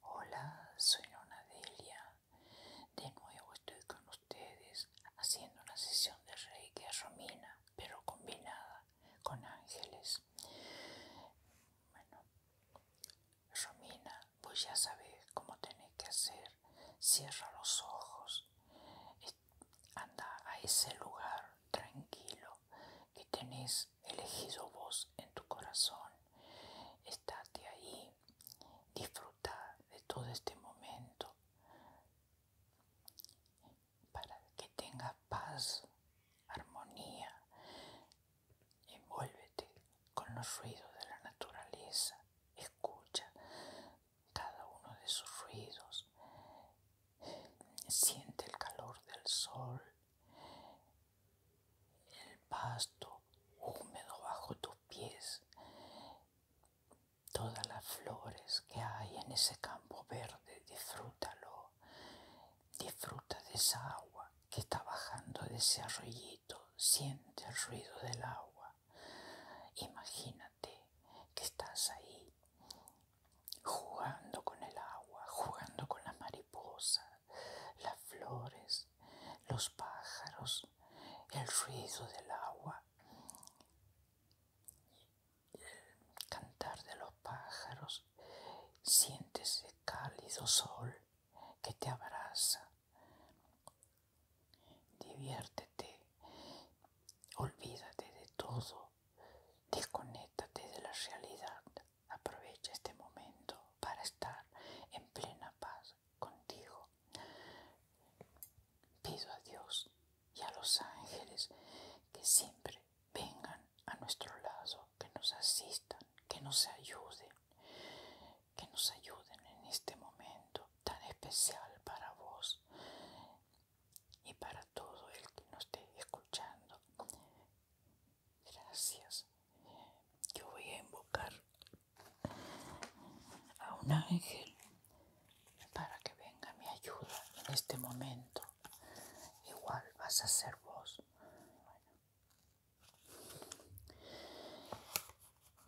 Hola, soy Nona Delia. De nuevo estoy con ustedes haciendo una sesión de Reiki es Romina, pero combinada con ángeles. Bueno, Romina, pues ya sabes cómo tenés que hacer. Cierra los ojos, anda a ese lugar tranquilo que tenés elegido vos en tu corazón. Estate ahí, disfruta de todo este momento, para que tengas paz, armonía. Envuélvete con los ruidos de la naturaleza. Escucha cada uno de sus ruidos. Siente el calor del sol, el pasto húmedo bajo tus pies todas las flores que hay en ese campo verde, disfrútalo, disfruta de esa agua que está bajando de ese arroyito, siente el ruido del agua, imagínate que estás ahí jugando con el agua, jugando con las mariposas, las flores, los pájaros, el ruido del agua el cantar de los pájaros, sientes el cálido sol que te abraza. Diviértete, olvídate de todo, desconéctate de la realidad. Aprovecha este momento para estar en plena paz contigo. Pido a Dios y a los ángeles que siempre vengan a nuestro lado, que nos asistan, que nos ayuden, que nos ayuden en este momento tan especial para vos y para todo el que nos esté escuchando. Gracias. Yo voy a invocar a un ángel para que venga mi ayuda en este momento. Igual vas a ser vos.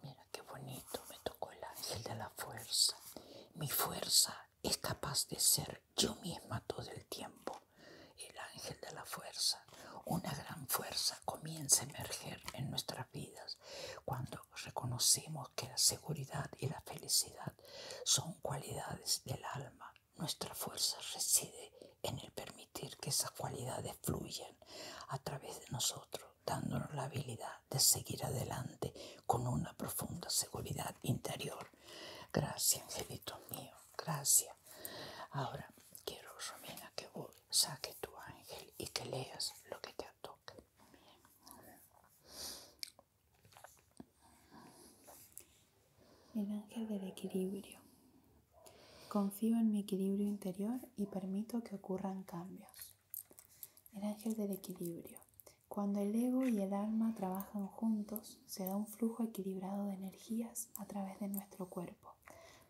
Mira qué bonito me tocó el ángel de la fuerza. Mi fuerza es capaz de ser yo misma todo el tiempo. El ángel de la fuerza, una gran fuerza comienza a emerger en nuestras vidas cuando reconocimos que la seguridad y la felicidad son cualidades del alma. Nuestra fuerza reside en el permitir que esas cualidades fluyan a través de nosotros, dándonos la habilidad de seguir adelante con una profunda seguridad interior. Gracias, angelitos mío, gracias. Ahora quiero, Romina, que vos saques tu ángel y que leas lo que te toque el ángel del equilibrio. Confío en mi equilibrio interior y permito que ocurran cambios. El ángel del equilibrio. Cuando el ego y el alma trabajan juntos, se da un flujo equilibrado de energías a través de nuestro cuerpo,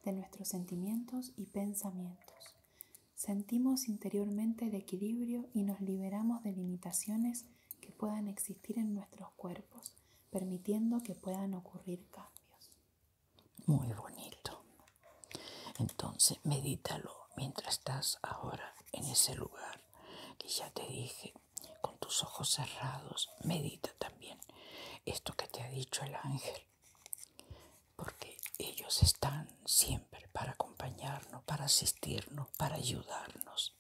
de nuestros sentimientos y pensamientos. Sentimos interiormente el equilibrio y nos liberamos de limitaciones que puedan existir en nuestros cuerpos, permitiendo que puedan ocurrir cambios. Muy bonito. Entonces, medítalo mientras estás ahora en ese lugar que ya te dije, con tus ojos cerrados, medita también esto que te ha dicho el ángel porque ellos están siempre para acompañarnos, para asistirnos, para ayudarnos.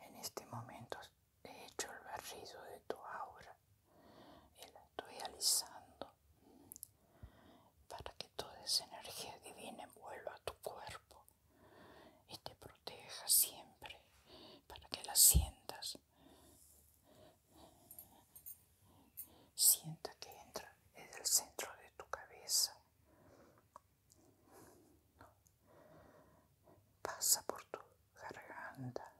En este momento he hecho el barrido de tu aura y la estoy alisando para que toda esa energía divina a tu cuerpo y te proteja siempre para que la sientas Sienta que entra desde el centro de tu cabeza. Pasa por tu garganta,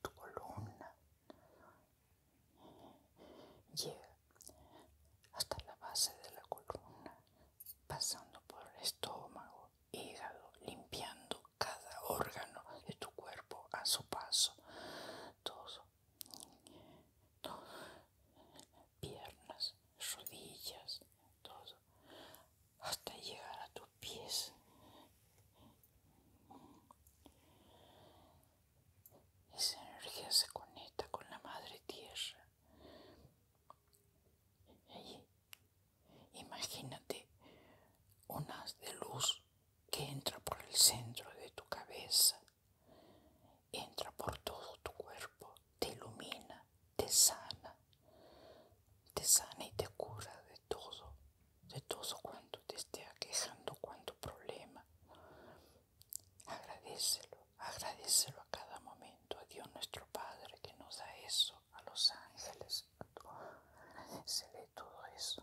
tu columna. Llega hasta la base de la columna, pasando por el estómago, hígado, limpiando cada órgano de tu cuerpo a su paso. Todo. Piernas, rodillas, todo. Hasta llegar a tus pies. Esa energía se conecta con la madre tierra. Imagínate un haz de luz que entra por el centro de tu cabeza, entra por todo tu cuerpo, te ilumina, te sana, te sana y te cura de todo, de todo cuanto te esté aquejando, cuanto problema. Agradecelo, agradecelo a cada momento a Dios nuestro Padre que nos da eso, a los ángeles, se ve todo eso.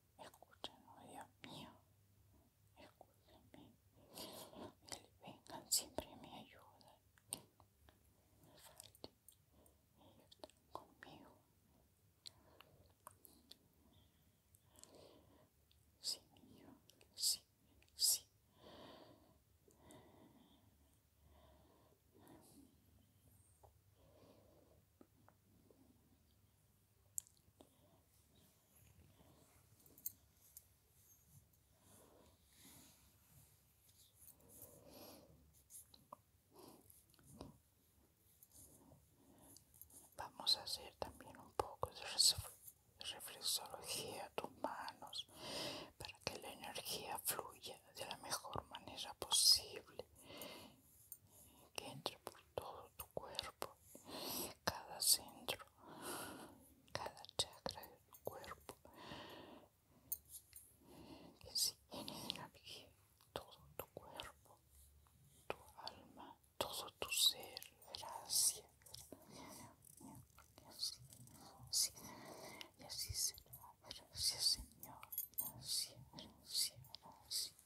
escúchenme, Dios mío, escúchenme, vengan siempre me ayudan, que me falten, ellos están conmigo. Sí, mío, sí, sí. Vamos a hacer también un poco de reflexología de tus manos para que la energía fluya de la mejor manera posible que entre por todo tu cuerpo, cada centro, cada chakra de tu cuerpo, que así en el todo tu cuerpo, tu alma, todo tu ser. Gracias. Y así será. Gracias, Señor. gracias.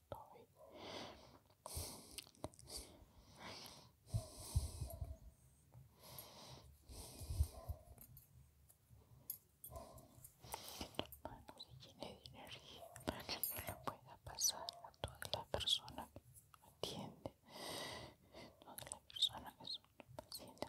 estoy. se llene de energía para que no pueda pasar a toda la persona que atiende, toda la persona que es un paciente.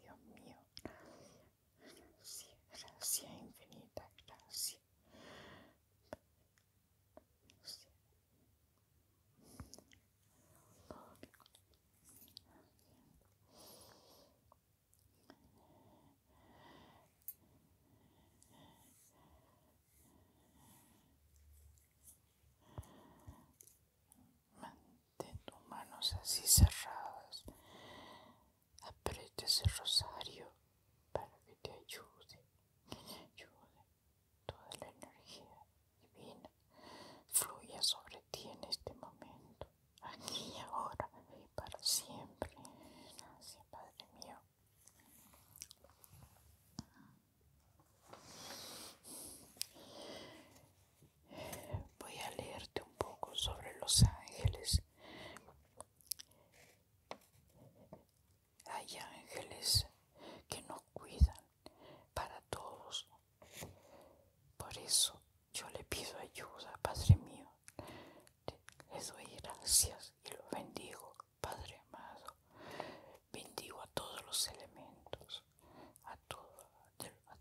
Dios mío, gracias, gracias infinita, Gracias, Mantén tus manos así cerradas. Aprieta ese rosario para que te ayude, que te ayude. Toda la energía divina fluya sobre ti en este momento, aquí ahora y para siempre. Gracias, Padre mío. Voy a leerte un poco sobre los ángeles. Hay ángeles que nos cuidan para todos. Por eso yo le pido ayuda, Padre mío. Les doy gracias y los bendigo, Padre amado. Bendigo a todos los elementos a, a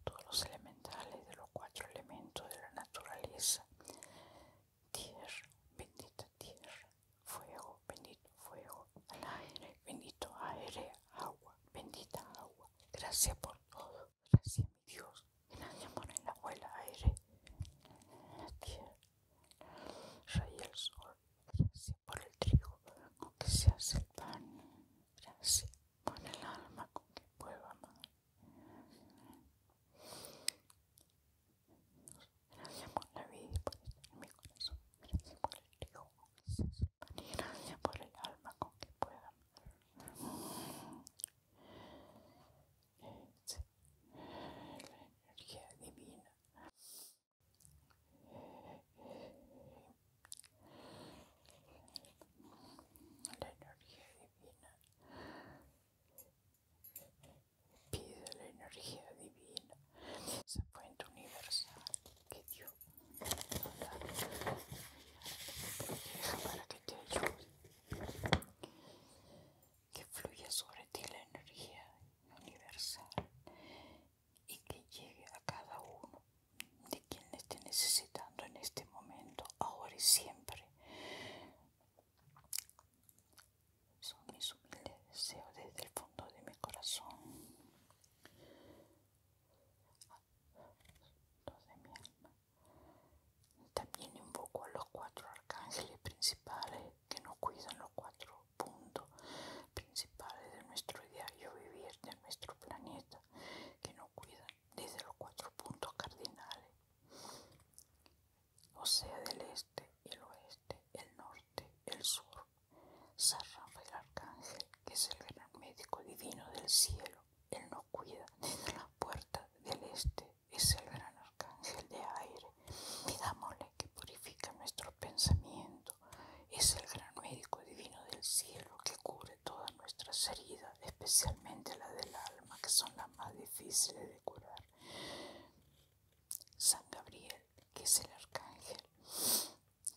todos los elementales de los cuatro elementos de la naturaleza. Tierra, bendita tierra, fuego, bendito fuego, al aire, bendito aire, agua, bendita agua. Gracias por todo, gracias mi Dios. Gracias el agua, aire, tierra, el sol, gracias por el trigo, con que se hace el pan, gracias por el alma, con que puedo amar. Gracias por la vida y por estar en mi corazón, gracias por el trigo, con que se hace el pan, gracias por el alma, con que puedo amar. la energía divina. La energía divina. Pide la energía divina, esa fuente universal que Dios nos da para que te ayude. Que fluya sobre ti la energía universal y que llegue a cada uno de quien le esté necesitando en este momento, ahora y siempre. Son mis humildes deseos desde el fondo de mi corazón, También invoco a los cuatro arcángeles principales que nos cuidan los cuatro punto principal de nuestro diario vivir de nuestro planeta que nos cuida desde los cuatro puntos cardinales o sea del este, el oeste, el norte, el sur San el Arcángel que es el gran médico divino del cielo él nos cuida desde la puerta del este es el gran arcángel de aire pidámosle que purifique nuestros pensamientos es el gran médico divino del cielo que cubre todas nuestras heridas, especialmente las del alma, que son las más difíciles de curar. San Gabriel, que es el arcángel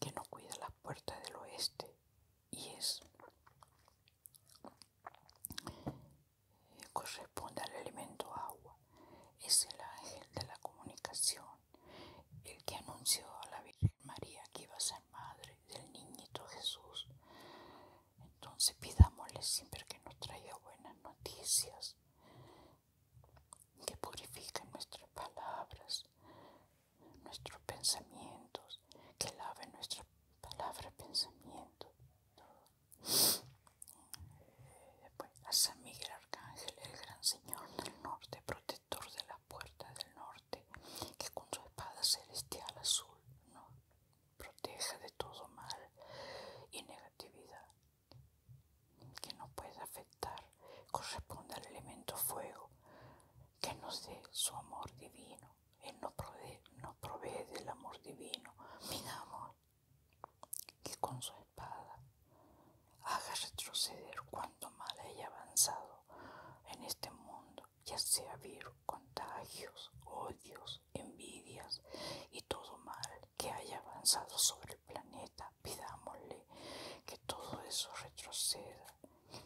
que nos cuida las puertas del oeste y es eh, corresponde al elemento agua, es el ángel de la comunicación el que anunció a la Virgen María que iba a ser madre del niñito Jesús. Entonces pidámosle siempre que nos traiga buenas noticias, que purifique nuestras palabras, nuestros pensamientos, que lave nuestras palabras, pensamientos. Pues, a San Miguel Arcángel, el gran señor del norte, protector de la Puerta del norte, que con su espada celestial azul nos proteja de todo mal y negatividad que no pueda afectar, corresponde al elemento fuego, que nos dé su amor divino, Él nos provee, del amor divino, mi amor, que con su espada haga retroceder cuanto mal haya avanzado en este mundo, ya sea virus, contagios, odios, envidias y todo mal que haya avanzado sobre el planeta, pidámosle que todo eso retroceda,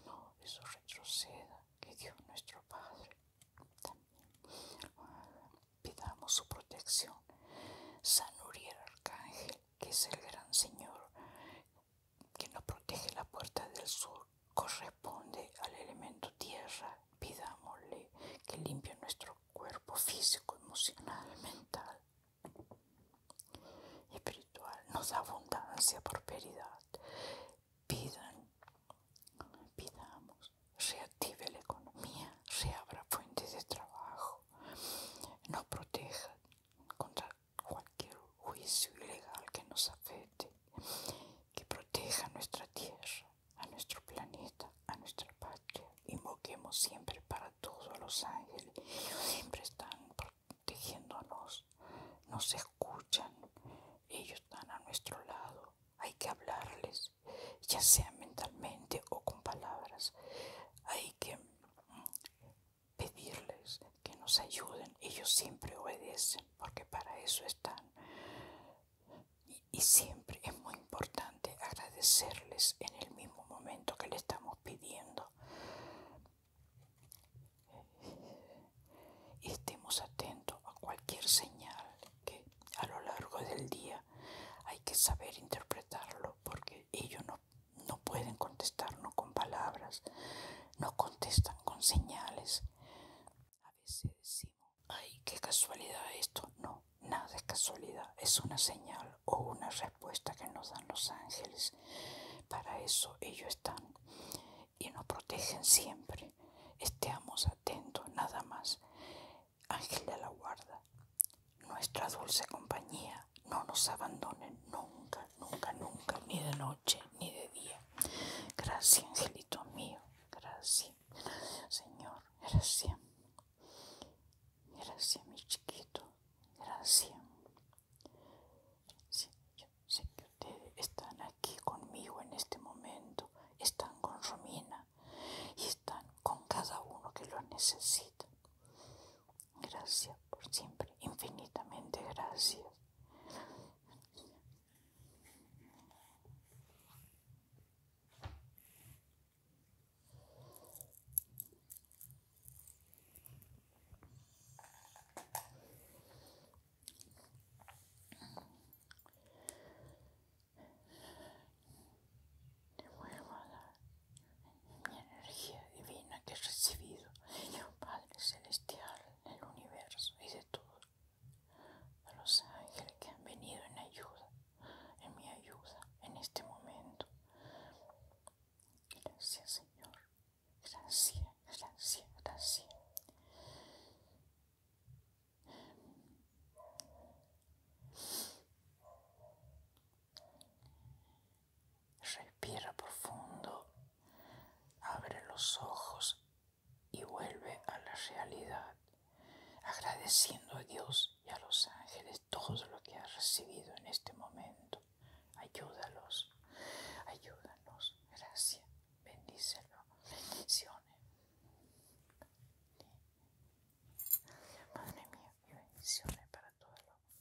no eso retroceda, que Dios nuestro Padre también pidamos su protección. San Arcángel que es el gran Señor que nos protege la puerta del sur, corresponde al elemento tierra. Pidámosle que limpie nuestro cuerpo físico, emocional, mental espiritual. Nos da abundancia, prosperidad. Pidan, pidamos, reactive la economía, reabra fuentes de trabajo, nos proteja contra cualquier juicio ilegal que nos afecte, que proteja nuestra tierra, a nuestro planeta, a nuestra patria. Invoquemos siempre para todos los ángeles, siempre están protegiéndonos, nos escuchan, ellos están a nuestro lado, hay que hablarles, ya sea mentalmente o con palabras, hay que pedirles que nos ayuden. Ellos siempre obedecen porque para eso están. Y, siempre es muy importante agradecerles en el mismo momento que le estamos pidiendo. estemos atentos a cualquier señal que a lo largo del día hay que saber interpretarlo porque ellos no no pueden contestarnos con palabras, no contestan con señales. A veces decimos, ay, qué casualidad esto. No, nada es casualidad, es una señal o una respuesta que nos dan los ángeles. Para eso ellos están y nos protegen siempre. Estemos atentos, nada más. Ángel de la guarda nuestra dulce compañía no nos abandone nunca, nunca, nunca, ni de noche ni de día. Gracias, angelito mío, gracias, Señor, gracias. Gracias, mi chiquito, gracias. Sí, sé que ustedes están aquí conmigo en este momento, están con Romina y con cada uno que lo necesita. Gracias por siempre, infinitamente gracias. Te vuelvo a dar mi energía divina que he recibido de mi Padre Celestial, del universo y de todo. A los ángeles que han venido en ayuda, en mi ayuda, en este momento. Gracias, Señor. Gracias, gracias, gracias. Respira profundo, abre los ojos y vuelve a la realidad, agradeciendo a Dios y a los ángeles todo lo que has recibido en este momento. Ayúdalos, ayúdanos, gracias, bendícelo, bendiciones y bendiciones para todos los